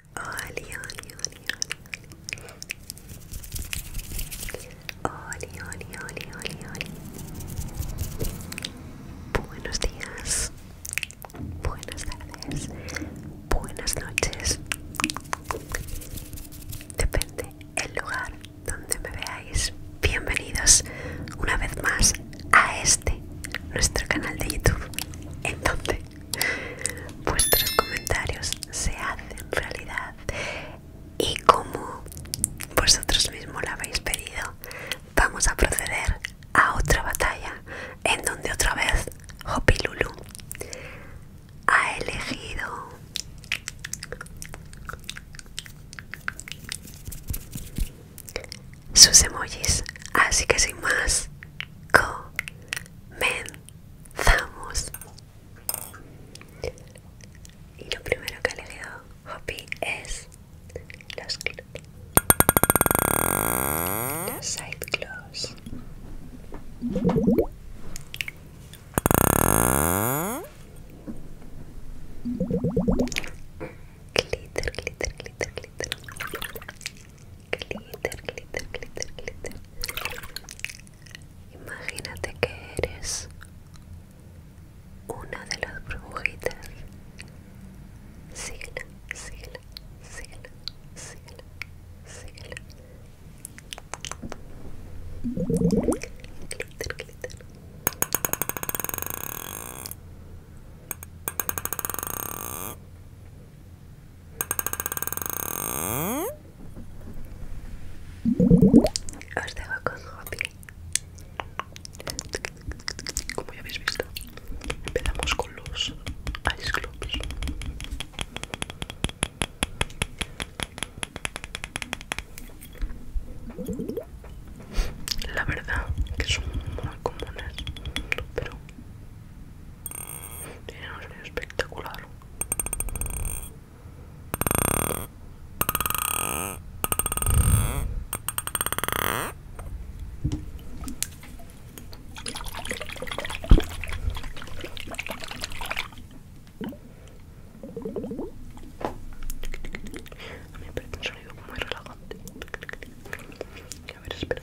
Oli, oli, oli, oli, oli, oli, Buenos días, buenas tardes, buenas noches. Depende el lugar donde me veáis. Bienvenidos una vez más a este, nuestro canal de YouTube, en donde Vuestros comentarios se hacen realidad y como vosotros mismos la habéis pedido, vamos a proceder a otra batalla en donde otra vez Hopi Lulu ha elegido sus emojis. Así que sin más, comen. Vamos. Y lo primero que le a Hoppy es los, los side gloss. Glitter, glitter, glitter, glitter glitter, glitter, glitter, glitter. Imagínate que eres una de las brujitas Síguela, síguela, síguela, síguela, síguela. Glitter, glitter. Os dejo con Como ya habéis visto, empezamos con los ice globes. La verdad que son muy comunes, pero tiene un sonido espectacular. A mí me parece un sonido muy relajante. A ver, espera.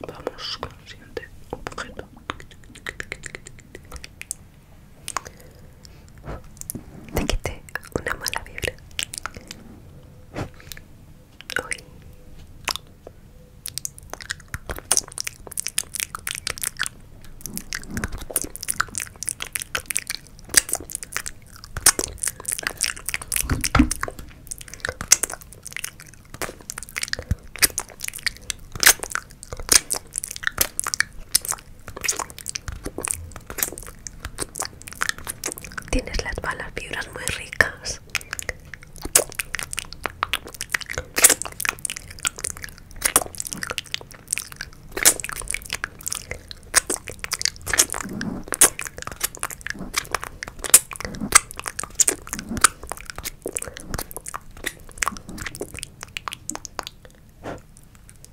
Vamos con el siguiente objeto. Te quité una mala vibra. Uy. Tienes las balas fibras muy ricas.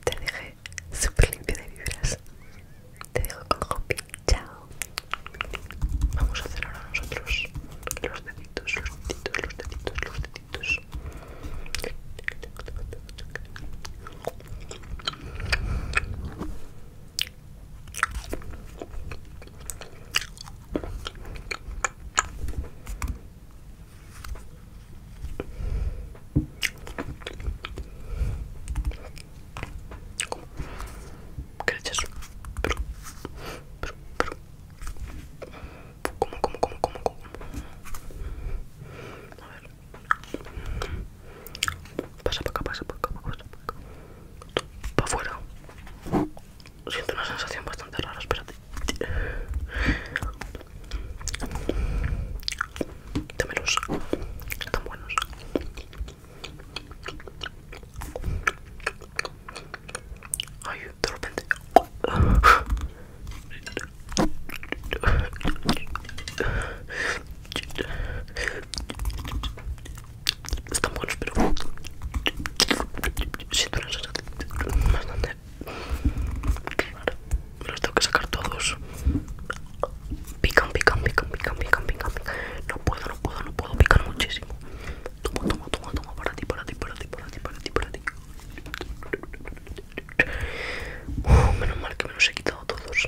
Te dejé súper limpio de vibras. Te dejo con Hopi. Chao. Vamos a hacer ahora nosotros los deditos, los deditos, los deditos, los deditos. Gracias. Pero, pero, pero. ¿Cómo, cómo, cómo, cómo, cómo? A ver. Pasa para acá, pasa para acá, Para afuera. Siento una sensación bastante rara, espérate. los Están buenos. Ay, de repente. Están buenos, pero si una sensación bastante Me los tengo que sacar todos. Pican, pican, pican, pican, pican, pican, pican. No puedo, no puedo, no puedo, pican muchísimo. Toma, toma, toma, toma, para ti, para ti, para ti, para ti, para ti, para ti menos mal que me los he quitado todos.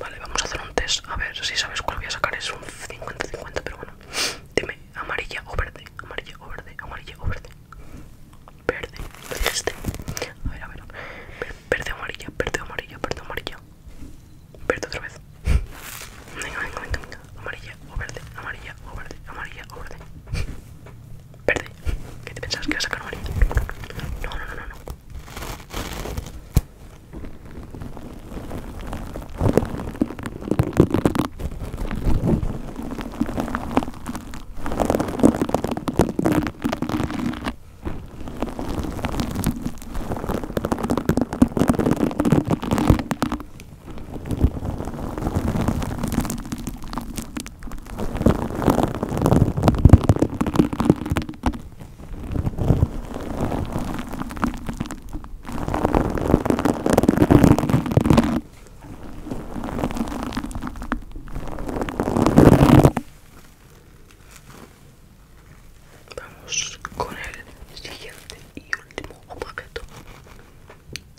Vale, vamos a hacer un test. A ver si sabes cuál voy a sacar. Es un 50-50, pero bueno. Dime, amarilla o verde. Amarilla o verde. Amarilla o verde. Verde. Este. A ver, a ver. Verde o amarilla. Verde o amarilla. Verde o amarilla. Verde otra vez. Venga, venga, venga, venga. Amarilla o verde. Amarilla o verde. Amarilla o verde. Verde. ¿Qué te pensabas que iba a sacar No, no, no, no, no. Vamos con el siguiente y último objeto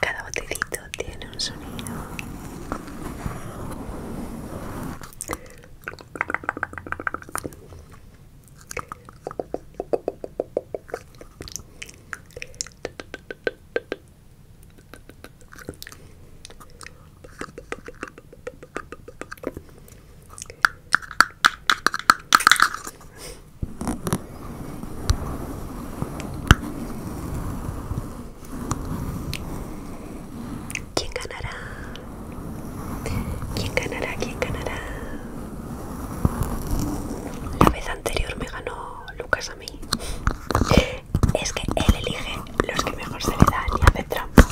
Cada botecito tiene un sonido. ¿Quién ganará? ¿Quién ganará? ¿Quién ganará? La vez anterior me ganó Lucas a mí es que él elige los que mejor se le dan y hace trampas.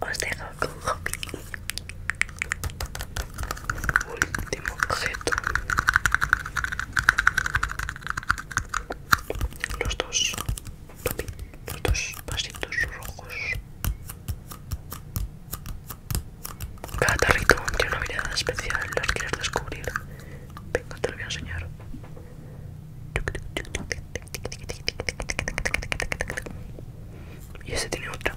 Os dejo con Hopi. Último objeto. Los dos los dos vasitos rojos. Cada tarrito tiene una mirada especial, las quieres descubrir. Venga, te lo voy a enseñar. Y ese tiene otra.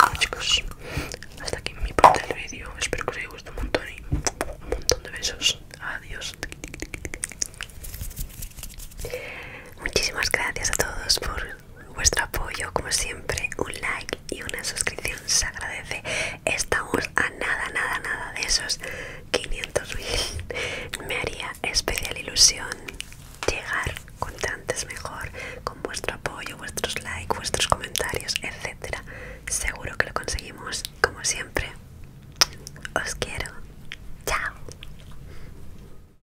Ah, chicos, hasta aquí mi parte del vídeo, espero que os haya gustado un montón y un montón de besos, adiós. Muchísimas gracias a todos por vuestro apoyo como siempre un like y una suscripción se agradece estamos a nada nada nada de esos 500.000 me haría especial ilusión llegar cuanto antes mejor con vuestro apoyo vuestros likes vuestros comentarios etcétera seguro que lo conseguimos como siempre os quiero chao